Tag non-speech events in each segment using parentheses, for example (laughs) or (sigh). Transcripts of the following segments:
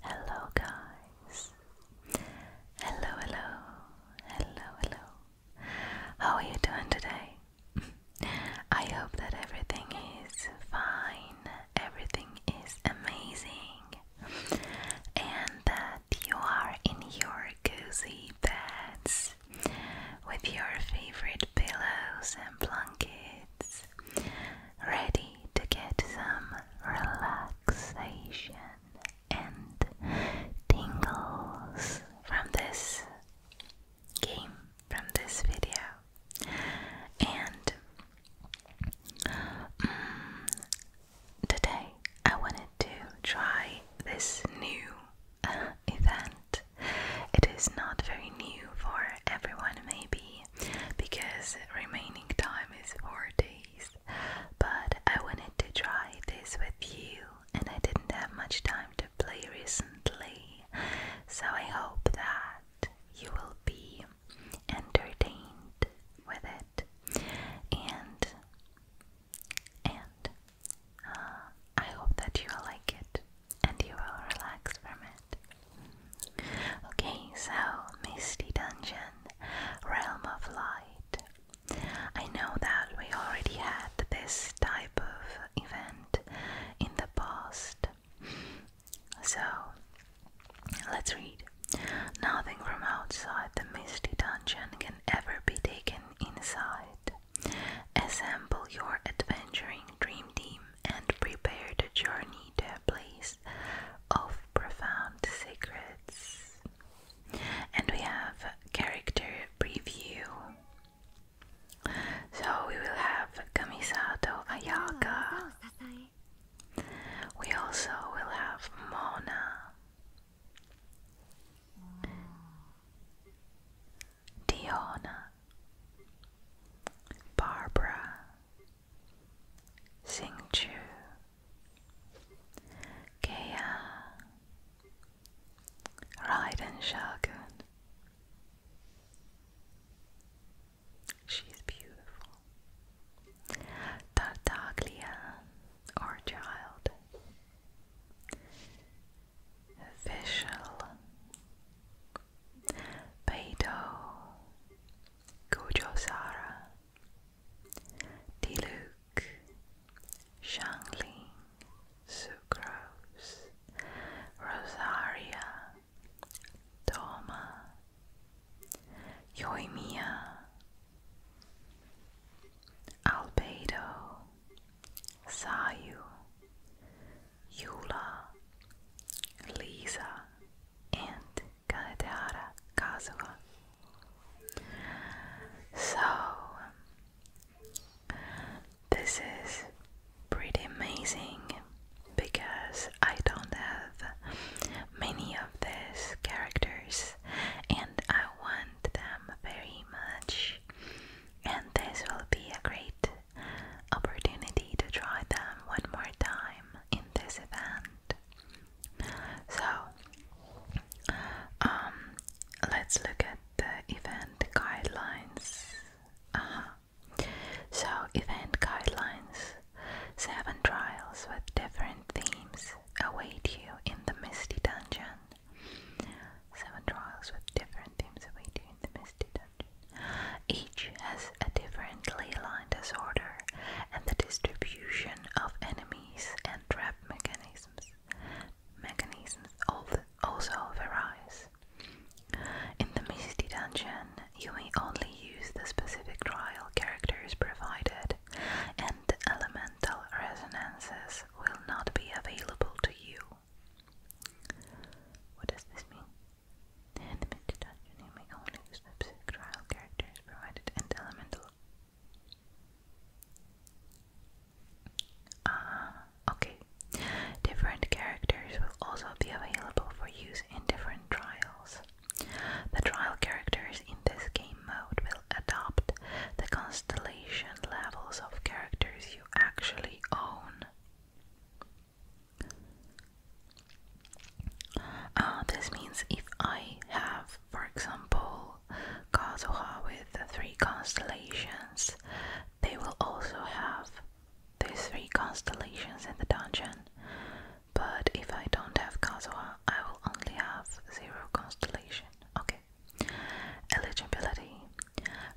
Hello, guys. Hello, hello, hello, hello. How are you doing today? I hope that everything is fine, everything is amazing, and that you are in your cozy beds with your favorite pillows and blankets, ready to get some relaxation and tingles from this game, from this video. And mm, today I wanted to try this new uh, event. It is not very new for everyone, maybe, because remaining time is four days. But I wanted to try this with you, and I didn't have much time to play recently, so I hope that you will be entertained with it. And and uh, I hope that you will like it and you will relax from it. Okay, so Misty Dungeon, Realm of Light. I know that we already had this type of event in the past. So let's read. Nothing from outside the Misty Dungeon can ever be taken inside. Assemble your adventuring dream team and prepare a journey to a place of profound secrets. And we have character preview. So we will have Kamisato Ayaka. We also will have Mona. Diona, Barbara, Hsinchu, Kaya, Raiden Shogun. She's beautiful. Tartaglia, our Vishal, Beidou, Gojosara, Diluk, Shangling, Sucrose, Rosaria, Toma, Yoimiya, Albedo, Sayu, Yula, Lisa, and Kanetehara Kazuha. So, this is pretty amazing because I don't have many of these characters and I want them very much, and this will be a great opportunity to try them one more time in this event. So, um, let's look at the event guidelines. Uh-huh. So, event guidelines seven trials with different themes await you in the Misty Dungeon. Seven trials with different themes await you in the Misty Dungeon each has a differently aligned disorder and the distribution of enemies and trap mechanisms mechanisms also varies. In the Misty Dungeon, you may only use the specific trial characters provided, and elemental resonances will not be available to you. What does this mean? The element you may only use the characters provided and elemental. Ah, okay. Different characters will also be available for use in different trials. The trial characters in this game mode will adopt the constellation levels of characters you actually own. Uh, this means if I have, for example, Kazuha with three constellations, they will also have these three constellations in the dungeon. But if I don't have Kazuha, I will only have zero constellation. Okay. Eligibility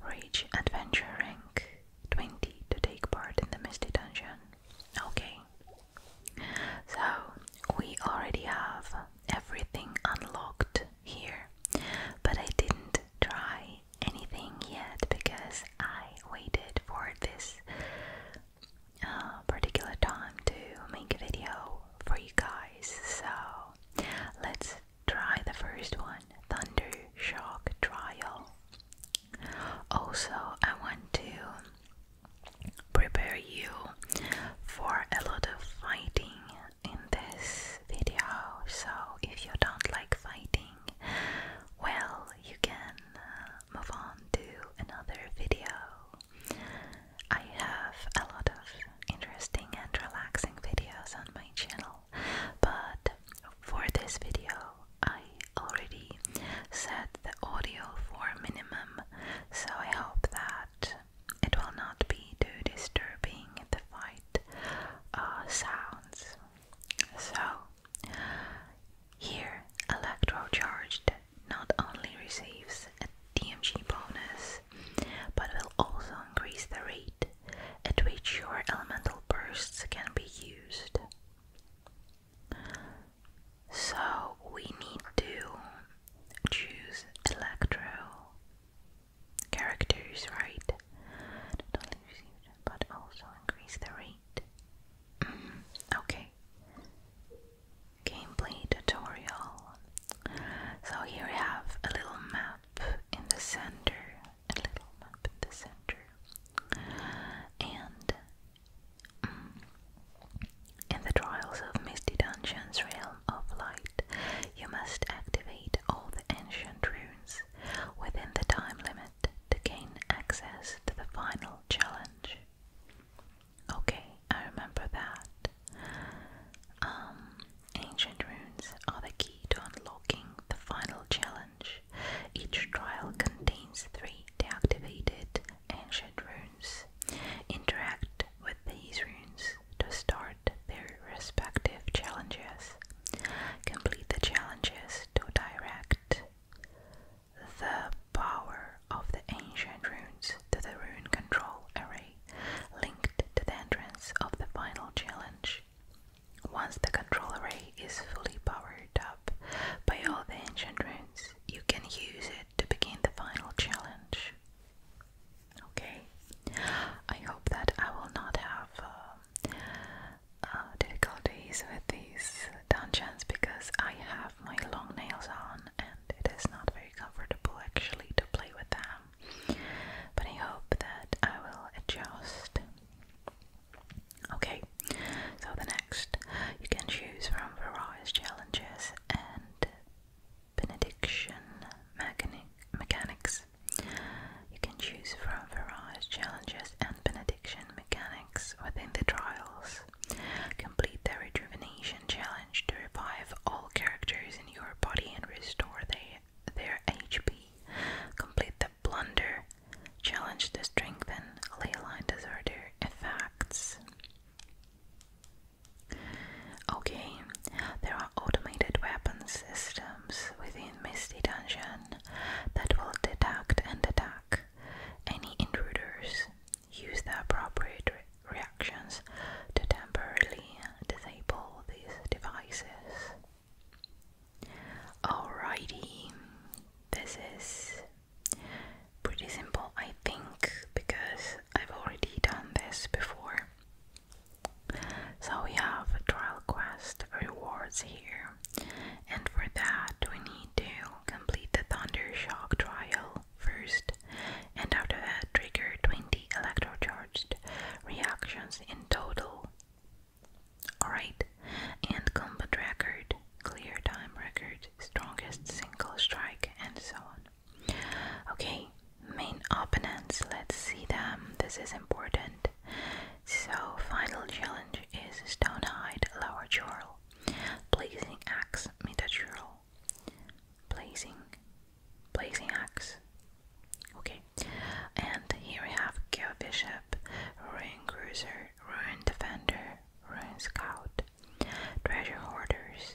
Reach Adventure Rank 20 to take part in the Misty Dungeon. Okay, so we already have everything unlocked here, but I didn't try anything yet because I waited for this uh, particular time to make a video for you guys. So let's try the first one Thunder Shock Trial. Also, I want to prepare you for a lot of fighting in this video. So, if you don't like fighting, well, you can uh, move on to another video. I have a lot of interesting and relaxing videos on my channel, but for this video, I already set the audio for minimum, so I hope that it will not be too disturbing the fight uh, sounds. So, here Electrocharged not only receives a DMG bonus, but will also increase the rate at which your elemental bursts can be used. So we need to choose electro characters, right? but also increase the rate. Mm-hmm. okay. Gameplay tutorial. So here we have a little map in the center, a little map in the center, and in the trials of Misty Dungeon's Realm of Light, you must activate all the ancient runes within the time limit to gain access to the final challenge. Okay, I remember that. Um, ancient runes are the key to unlocking the final challenge. Each trial contains three deactivated ancient runes interact with these runes to start their respective challenges. Complete the challenges to direct the power of the ancient runes to the rune control array linked to the entrance of the final challenge. Once the control array is fully powered up by all the ancient runes, you can use it to begin the final challenge. Okay? I hope that I will not have uh, uh, difficulties with these dungeons because I have my long nails on and it is not very comfortable actually to play with them. But I hope that I will adjust. Okay, so the next, you can choose from various challenges and benediction mechanics. You can choose from various challenges and benediction mechanics within the trials. Complete the rejuvenation challenge to revive all characters in your body and restore their their HP. Complete the blunder challenge to strengthen leyline Disorder effects. Okay, there are automated weapon systems within Misty Dungeon that will detect and attack any intruders. Use the appropriate reactions to temporarily disable these devices. Alrighty, this is Pretty simple, I think, because I've already done this before. So we have trial quest rewards here, and for that we need to complete the Thunder Shock trial first, and after that trigger 20 electrocharged reactions in total. Alright, and combat record clear time record, strongest single strike, and so on. Okay, main opponents, let's see them. This is important. So, final challenge is Stonehide Lower Churl, Blazing Axe Metachurl, Blazing, Blazing Axe. Okay, and here we have Kill Bishop, Ruin Cruiser, Ruin Defender, Ruin Scout, treasure hoarders,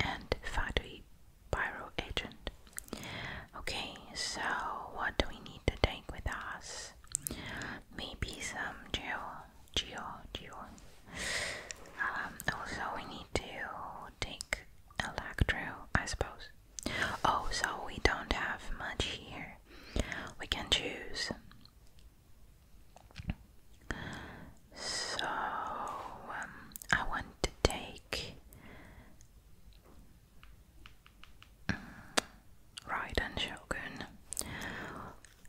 and Fatui Pyro Agent. Okay, so what do we need to take with us? Maybe some geo, geo, geo. Um, also, we need to take electro, I suppose. Oh, so we don't have much here. We can choose so um, I want to take um, mm, Raiden Shogun.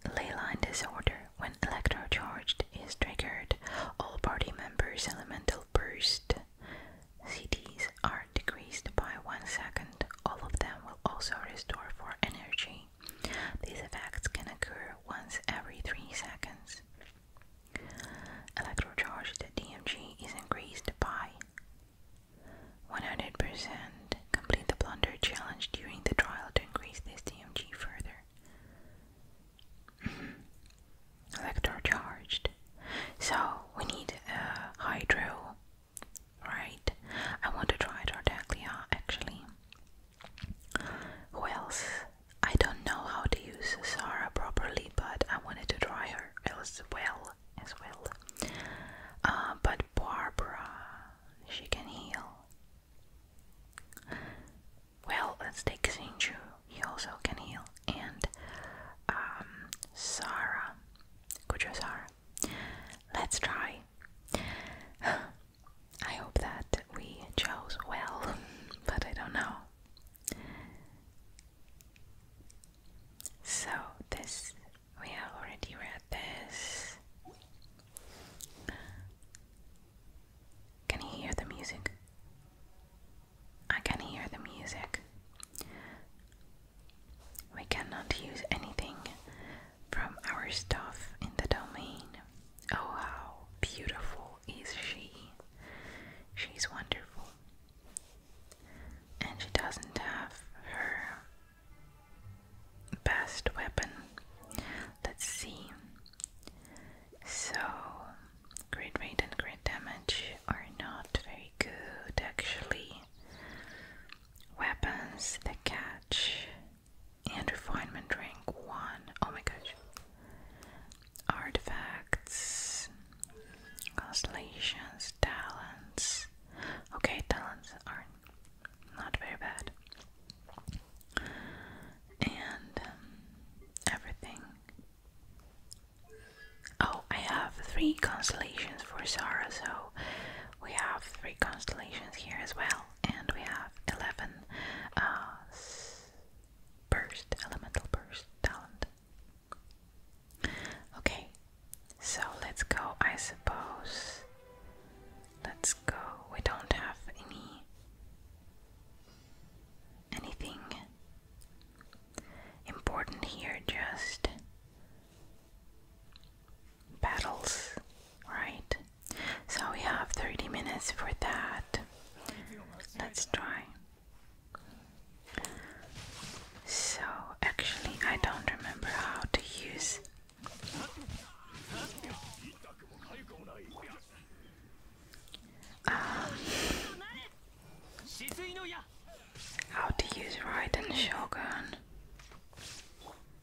Leyline disorder. When electrocharged is triggered, all party members' elemental burst CDs are decreased by one second. All of them will also restore for energy. These effects can occur once every 3 seconds. Electrocharged DMG is increased by 100%. Complete the plunder challenge during the trial to increase this DMG further. (clears throat) Electrocharged. So we need uh, hydro, right? I want to try Tardaclia actually. Well, I don't know how to use Sarah properly, but I wanted to try her as well as well. Uh, but Barbara, she can heal. Well, let's take Sinju. He also can heal, and um, Sarah, Sarah, Kujo Sarah. Let's try. I hope that we chose well, (laughs) but I don't know. So, this we have already read this. Can you hear the music? I can hear the music. We cannot use anything from our stuff in the domain. Oh, how beautiful is she! She's wonderful. And she doesn't have her best weapon. Let's see. So, great rate and great damage are not very good actually. Weapons, the catch, Andrew Fineman drank one. Oh my gosh. Artifacts, constellations, talents. Okay, talents are not very bad. And um, everything. Oh, I have three constellations for Sarah, so we have three constellations here as well and we have 11 uh, burst, elemental burst talent. Okay, so let's go, I suppose. Let's go. We don't have any anything important here, just battles, right? So we have 30 minutes for that. Let's try. So, actually, I don't remember how to use. how to use Raiden Shogun?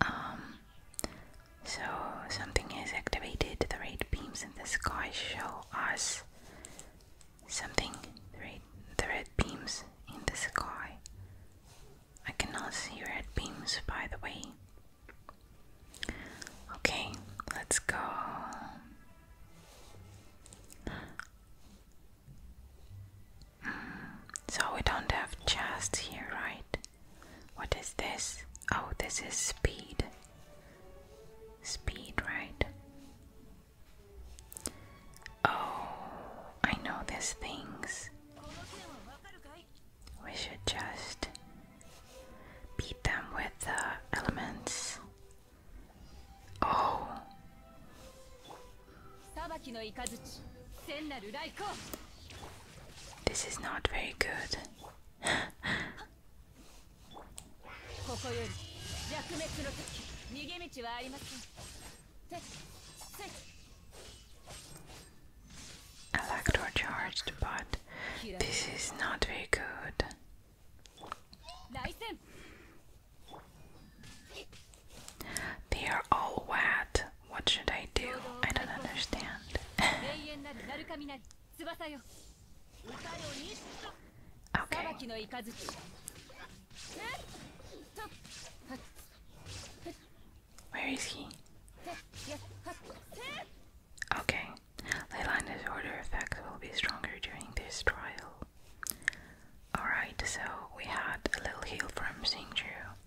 Um, so something is activated. The red beams in the sky show us something. The red, beams in the sky. I cannot see red beams, by the way. Okay, let's go. Hmm, so we don't have chests here, right? What is this? Oh, this is speed. Speed, right? Oh, I know these things. We should just beat them with the elements. Oh. This is not very good. Electro but this is not very good. They are all wet. What should I do? I don't understand. (laughs) okay. Where is he? Okay. Leylanda's order effects will be stronger during this trial. Alright, so we had a little heal from Singju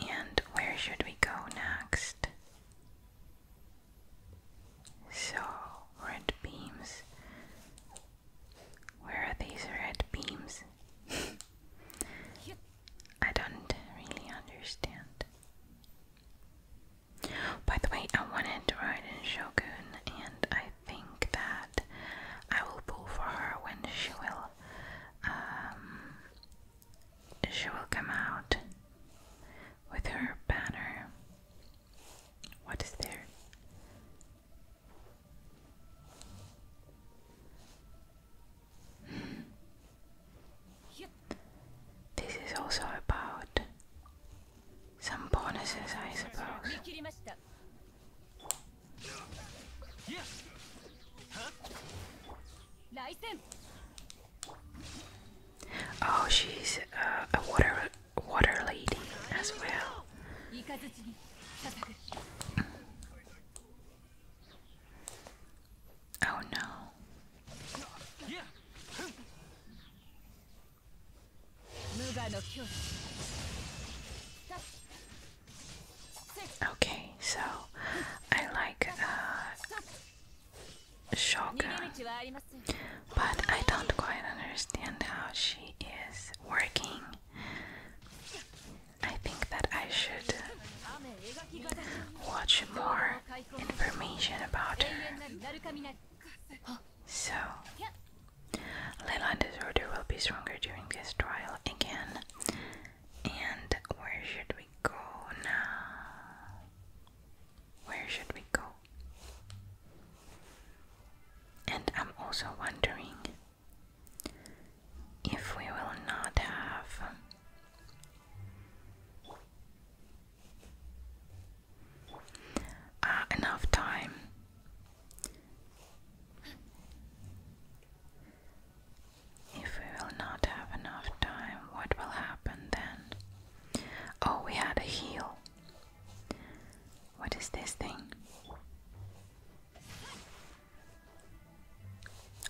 and where should we go next? So, red beams. Where are these red beams? (laughs) I don't really understand. By the way, I wanted to ride in Shogun, and I think that I will pull for her when she will um, she will come out with her banner. What is there? This is also about some bonuses, I suppose. Oh, she's uh, a water water lady as well. Oh no. Okay, so I like uh, Shogun, but I don't quite understand how she is working. I think that I should watch more information about her. So, Leylanda's order will be stronger during this trial again, and where should we go now? Where should we go? And I'm also wondering if we will not have uh, enough time if we will not have enough time, what will happen then? Oh, we had a heel. What is this thing?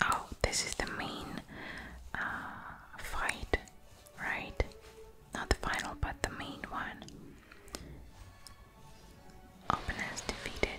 Oh, this is the main uh, fight, right? Not the final, but the main one. Opponents defeated.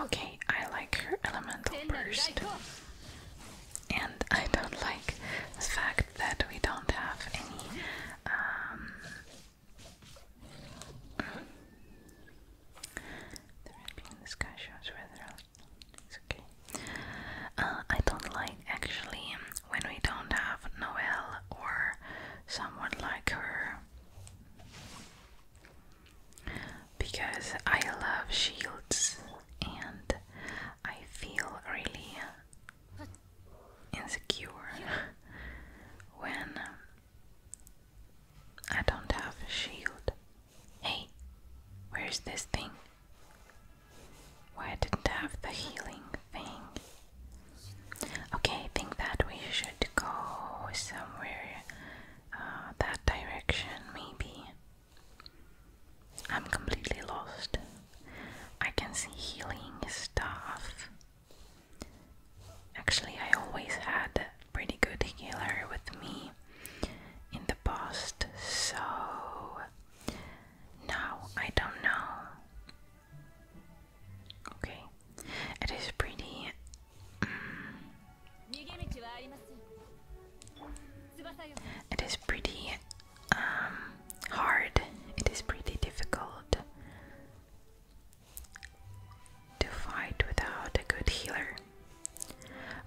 Okay, I like her elemental burst. And I don't like the fact that we don't have any um, the red in the sky shows where it's okay. Uh, I don't like actually when we don't have Noel or someone like her because I love shields and I feel really insecure when um, I don't have a shield. Hey, where's this thing? Why didn't I have the healing thing? Okay, I think that we should go somewhere uh, that direction, maybe. I'm completely lost. I can see healing stuff. Actually, I always had a pretty good healer with me in the past, so now I don't know. Okay, it is pretty it is pretty um, hard. It is pretty difficult to fight without a good healer.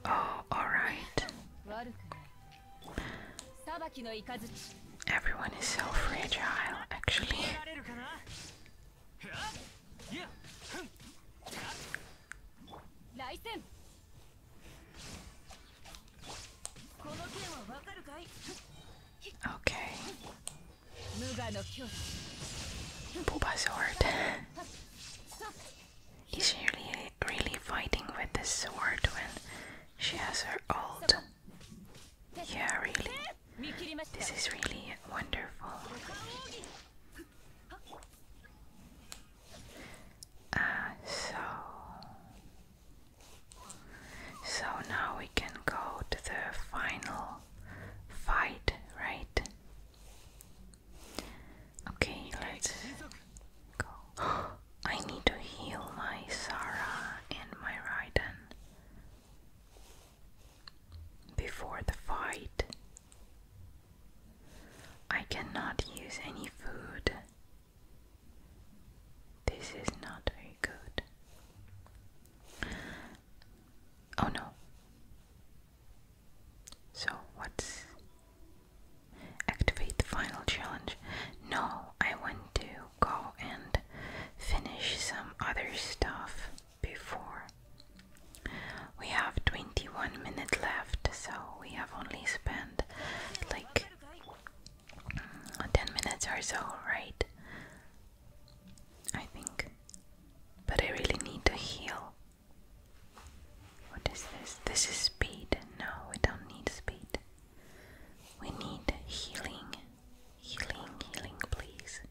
Oh, alright. Everyone is so fragile, actually. Okay. Booba's sword. Is she really, really fighting with this sword when she has her ult? Yeah, really. This is really wonderful. Uh, so, so now we can go to the final fight, right? Okay, let's go. (gasps) I need to heal my Sarah and my Raiden before the fight. I cannot use any food. This is not very good. Oh no. So, what's. Activate the final challenge. No, I want to go and finish some other stuff before. We have 21 minutes left, so we have only spent like mm, 10 minutes or so, right? I think. But I really need to heal. What is this? This is speed. No, we don't need speed. We need healing. Healing, healing, please.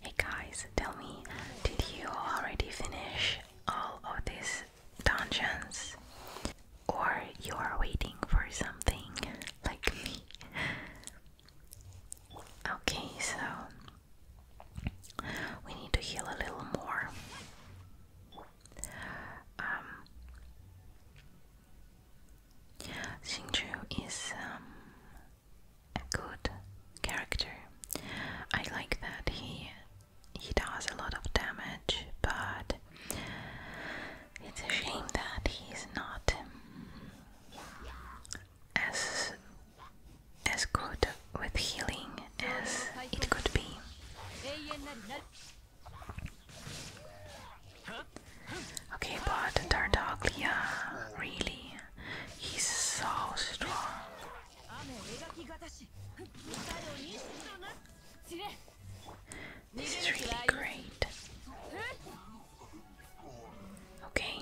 Hey guys, tell me, did you already finish all of these dungeons? Or you are waiting for something like me? Okay, so we need to heal a little more. Um, is um, a good character. I like that he he does a lot of damage, but it's a shame that he's not um, as as good with healing as it could be. Okay, but Tartaglia really He's so strong. This is really great. Okay,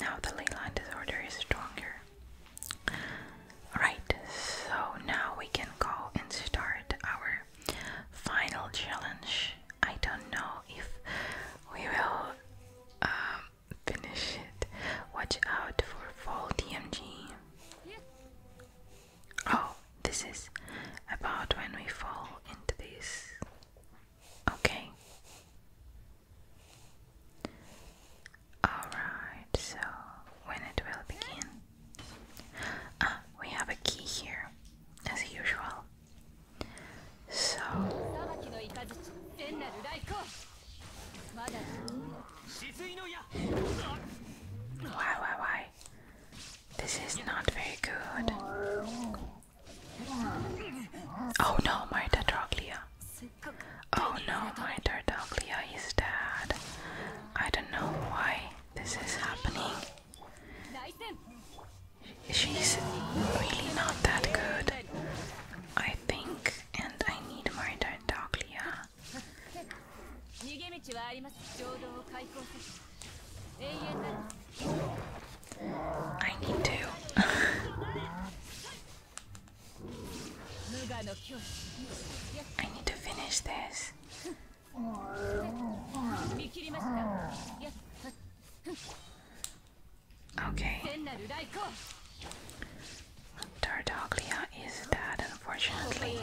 now the ley line disorder is stronger. Alright, so now we can go and start our final challenge. I don't know if we will um, finish it. Watch out for fall DMG. Oh, this is about when we fall into this. Okay. Alright, so when it will begin. Ah, we have a key here, as usual why why why? This is not very good. Oh no, my Tetraglia. Oh no, my Tetraglia is dead. I don't know why this is happening. She's really not that good. I think, and I need more Tartaglia. I need to. I need to finish this. Okay. Tartaglia is dead, unfortunately.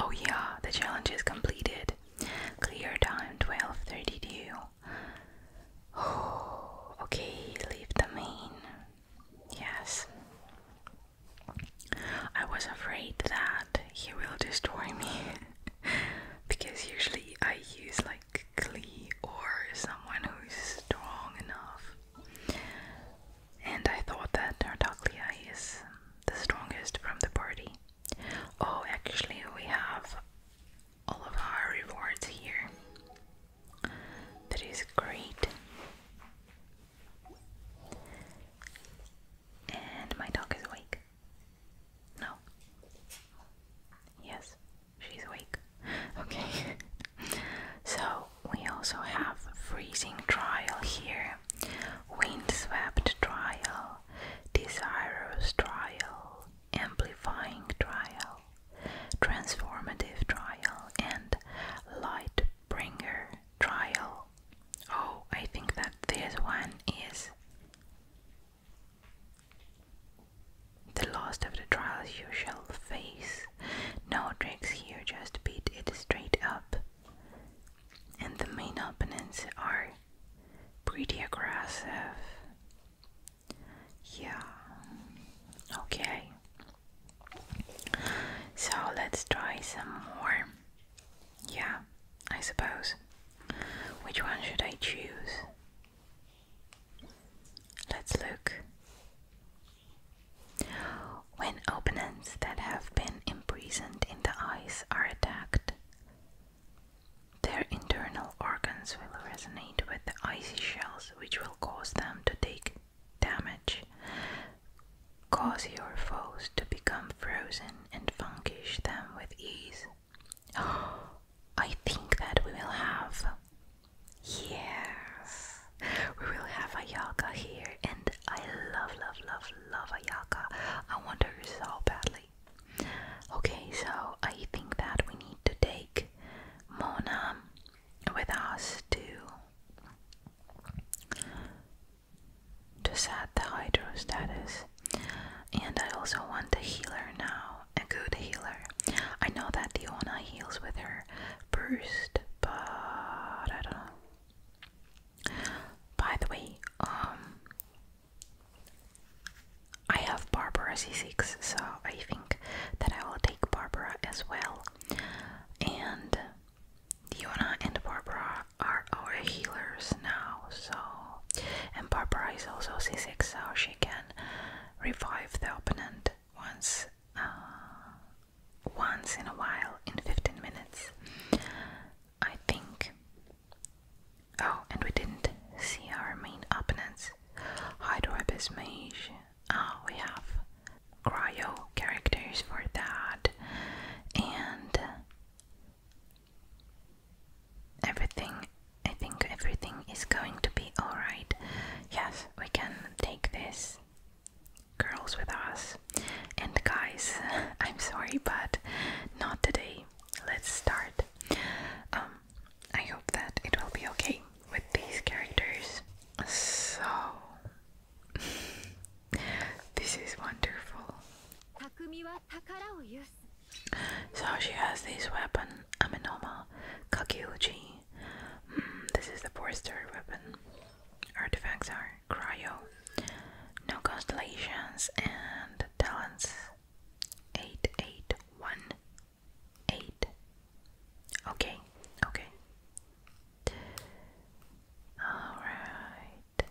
Oh yeah, the challenge is completed. Clear time 12:32. Oh, (sighs) okay, leave the main. Yes. I was afraid that he will destroy me (laughs) because usually I use like quickly or someone who's strong enough. And I thought that Nardaglia is the strongest from the party. Oh, actually, we have all of our rewards here. That is great. And my dog is awake. No. Yes she's awake. Okay. (laughs) so we also have freezing trial here, windswept trial, desirous trial, amplifying trial, transformative trial, and light bringer trial. Oh, I think that this one is the last of the trials you shall face. No tricks here, just beat it straight up. And the main opponents are pretty aggressive. Yeah. Okay. So let's try some more. Yeah, I suppose. Which one should I choose? Let's look. When opponents that have been imprisoned in the ice are attacked, their internal organs will resonate with the icy shells, which will cause them to take damage, cause your foes to become frozen, and vanquish them with ease. (gasps) I think that we will have. Yes, we will have Ayaka here, and I love, love, love, love Ayaka. I want her so badly. Okay, so I think that we need to take Mona with us to to set the hydro status, and I also want the healer now a good healer. I know that Diona heals with her burst, but I don't know. By the way, um, I have Barbara C6, so I think that I will take Barbara as well. And Diona and Barbara are our healers now, so. And Barbara is also C6, so she can revive the opponent once uh, once in a while in 15 minutes. I think. Oh, and we didn't see our main opponents. Hydro Abyss Mage. Oh, we have cryo characters for that. And everything I think everything is going to be alright. Yes, we can take this girls with us. And guys, (laughs) I'm sorry, but not today. Let's start. Um, I hope that it will be okay with these characters. So, (laughs) this is wonderful. So she has this weapon, I'm a normal. Kakyuji. Mm, this is the four-star weapon. Artifacts are cryo, no constellations, and talents. Eight, eight, one, eight. Okay, okay. Alright.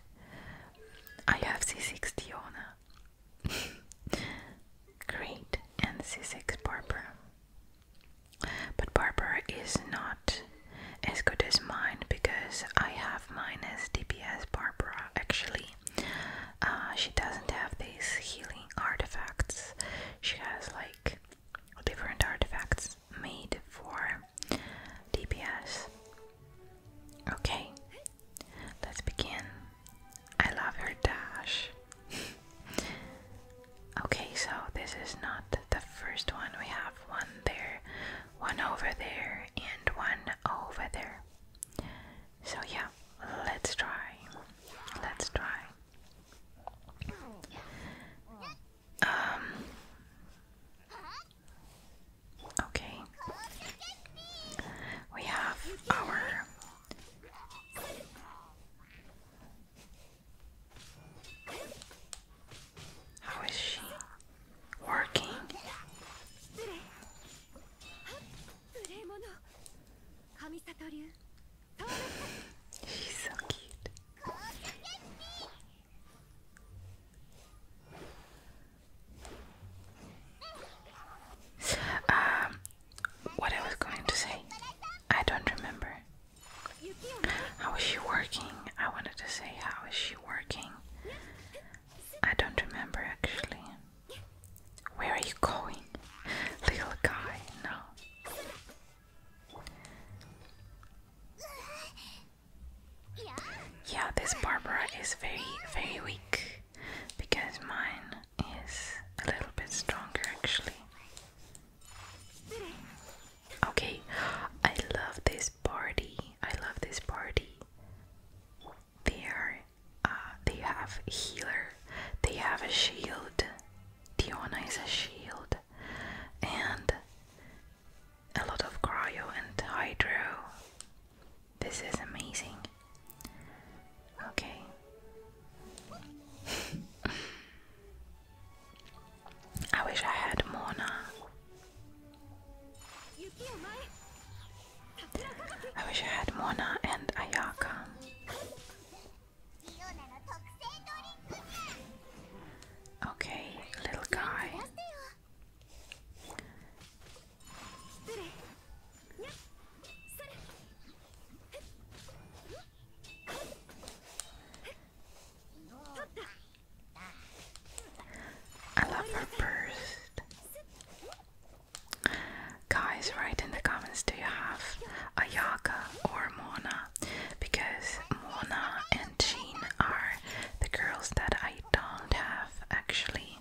I have C6 Diona. Great, and C6 Barbara. But Barbara is not as good as mine because I have mine as DPS Barbara actually. Uh, she doesn't have these healing artifacts, she has like different artifacts made for DPS. Okay, let's begin. I love her dash. (laughs) okay, so this is not the first one. We have one there, one over there, and one over there. So, yeah, let's try. Let's try. Um, okay. We have our how is she working? She's so cute. Um, what I was going to say. I don't remember. How is she working? I wanted to say, how is she working? I don't remember actually. Where are you going? Little guy, no. Yeah, this Barbara is very, very weak because mine is a little bit stronger actually. Okay, I love this party. I love this party. They are, uh, they have healer. They have a shield. Diona is a shield, and a lot of cryo and hydro. This is amazing. Okay, I wish I had more now. I wish I had Mona and Ayaka. Okay, little guy. I love her first. Guys, write in the comments do you have Ayaka or Mona? Because Mona and Jean are the girls that I don't have actually.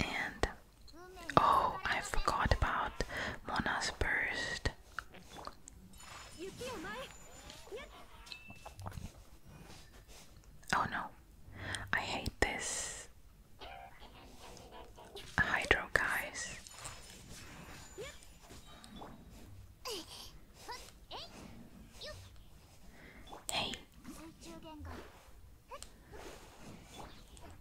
And Oh, I forgot about Mona's burst. Oh no, I hate this hydro guys. Hey.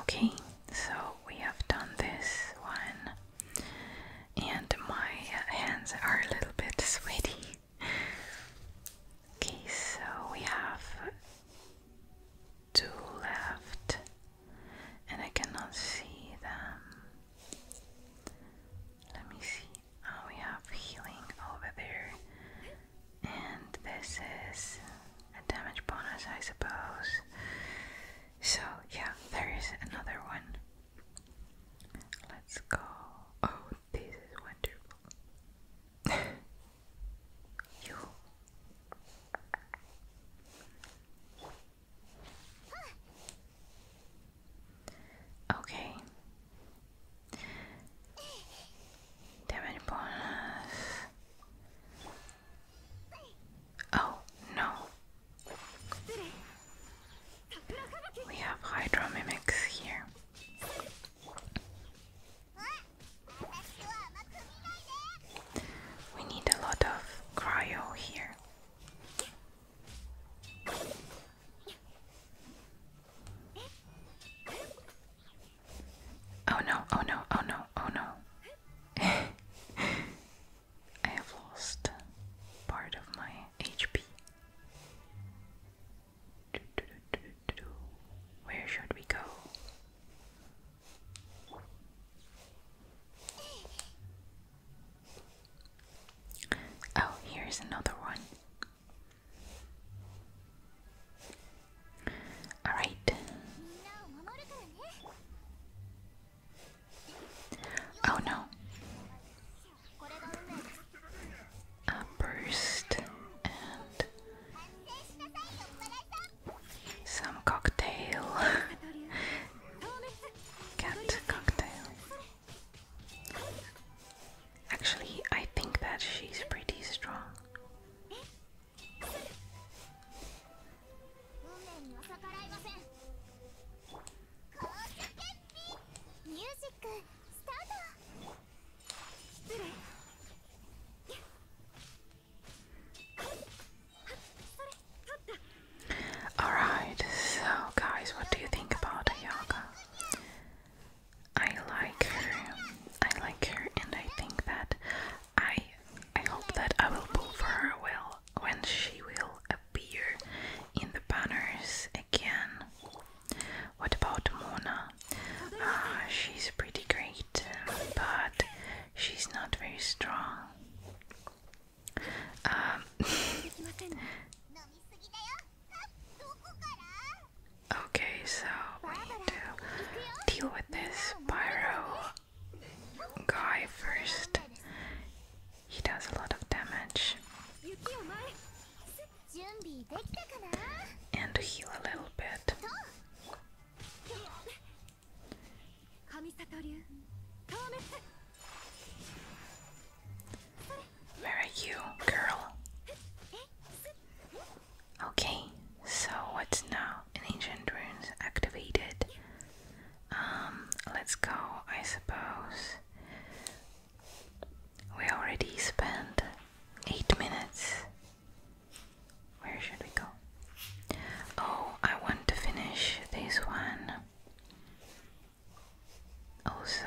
Okay, so we have done this one, and my hands are a little bit sweaty. Okay, so we have two left, and I cannot see them. Let me see. Oh, we have healing over there and this is a damage bonus, I suppose. So, yeah, there is another one. Let's go. Oh, this is wonderful. (laughs) you. Okay. Damage bonus. Oh no. We have Hydro Mimics here. We need a lot of cryo here. Oh no, oh no, oh no, oh no. (laughs) I have lost part of my HP. Where should we go? Oh, here's another one. Alright. Oh no. A burst and some cocktail. (laughs) Cat cocktail. Actually, I think that she's pretty strong. Alright, so guys, what do you think about Ayaka? I like her, I like her, and I think that I I hope that I will pull for her well when she will appear in the banners again. What about Mona? Uh, she's pretty great, but she's not very strong. Okay, so we need to deal with this pyro guy first. He does a lot of damage. And heal a little bit. Where are you, girl? Okay, so what's now? An ancient runes activated. Um, let's go, I suppose. We already spent eight minutes. Where should we go? Oh, I want to finish this one. Also,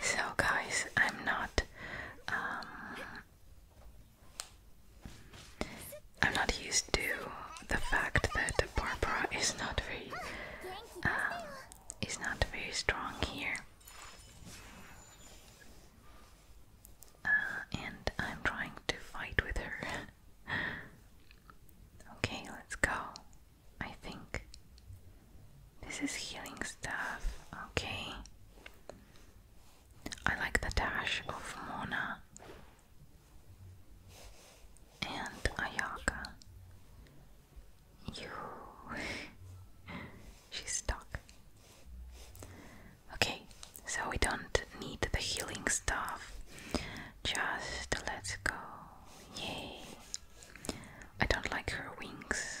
so guys, I'm not um, I'm not used to the fact that Barbara is not very um, is not very strong here. Uh, and I'm trying to fight with her. (laughs) okay, let's go. I think. This is healing stuff, okay. I like the dash of Mona and Ayaka. You. (laughs) She's stuck. Okay, so we don't need the healing stuff. Just let go. Yay. I don't like her wings.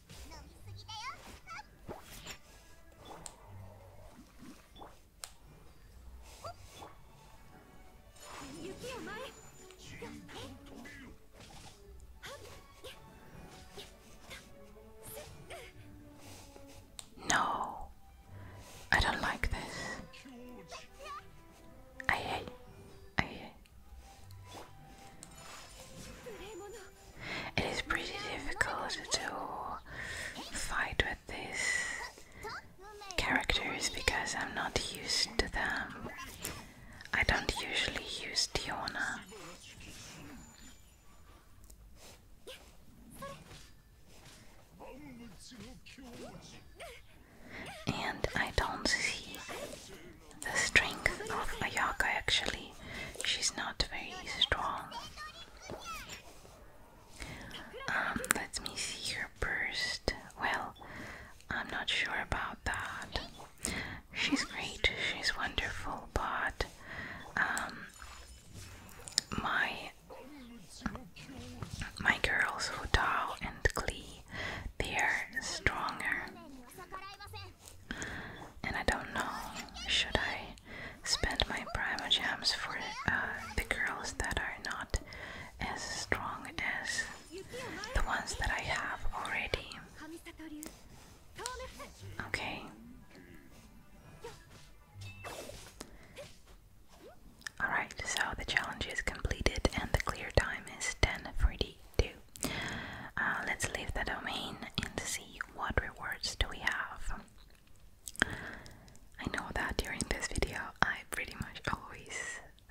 No, I don't like this. Aye, aye, aye, aye. It is pretty difficult to fight with these characters because I'm not used to them. I don't usually use Diona. And I don't see the strength of Ayaka actually. She's not very strong. Um, let me see her burst. Well, I'm not sure about that. She's great, she's wonderful, but um, my my girls Hutao and Klee, they are stronger and I don't know, should I spend my primer gems for uh, the girls that are not as strong as the ones that I have already? Okay. Alright, so the challenge is completed and the clear time is 10.42. Uh, let's leave the domain and see what rewards do we have. I know that during this video I pretty much always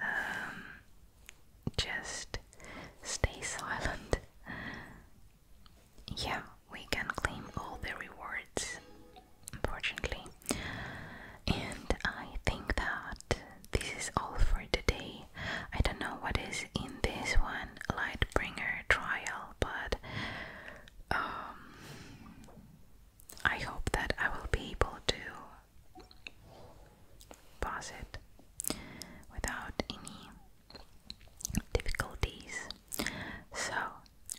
um, just stay silent. (laughs) Yeah, we can claim all the rewards, unfortunately. And I think that this is all for today. I don't know what is in this one. Lightbringer trial, but um, I hope that I will be able to pass it without any difficulties. So,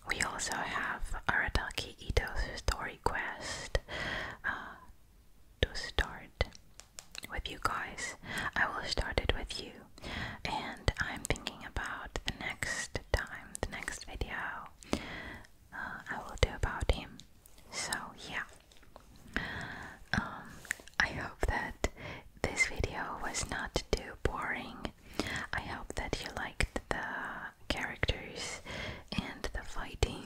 we also have Arataki Ito's story quest uh, to start with you guys. I will start it with you and I'm thinking about the next time, the next video uh, I will do about him. So, yeah. Um, I hope that this video was not too boring. I hope that you liked the characters and the fighting.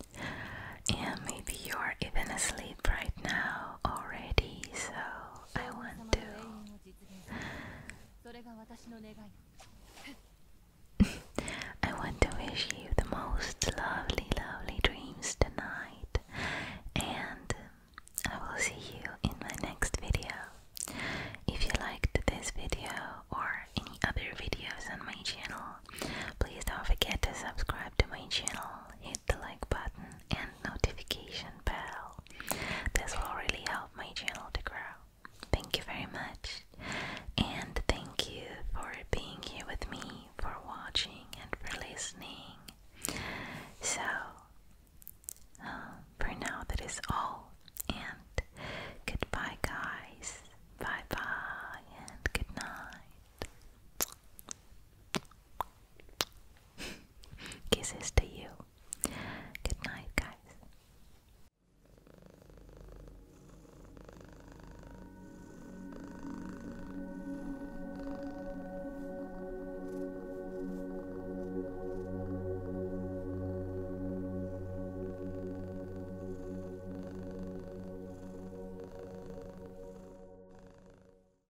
(laughs) and maybe you're even asleep right now already, so I want to. (laughs) I want to wish you the most lovely, lovely dreams tonight, and um, I will see you in my next video. If you liked this video or any other videos on my channel, please don't forget to subscribe to my channel, hit the like button, and notification bell. This will really help my channel to grow. Thank you very much, and thank you for being here with me, for watching, and for listening. So, uh, for now, that is all, and goodbye, guys. Bye bye, and good night. Kisses to you. Good night, guys.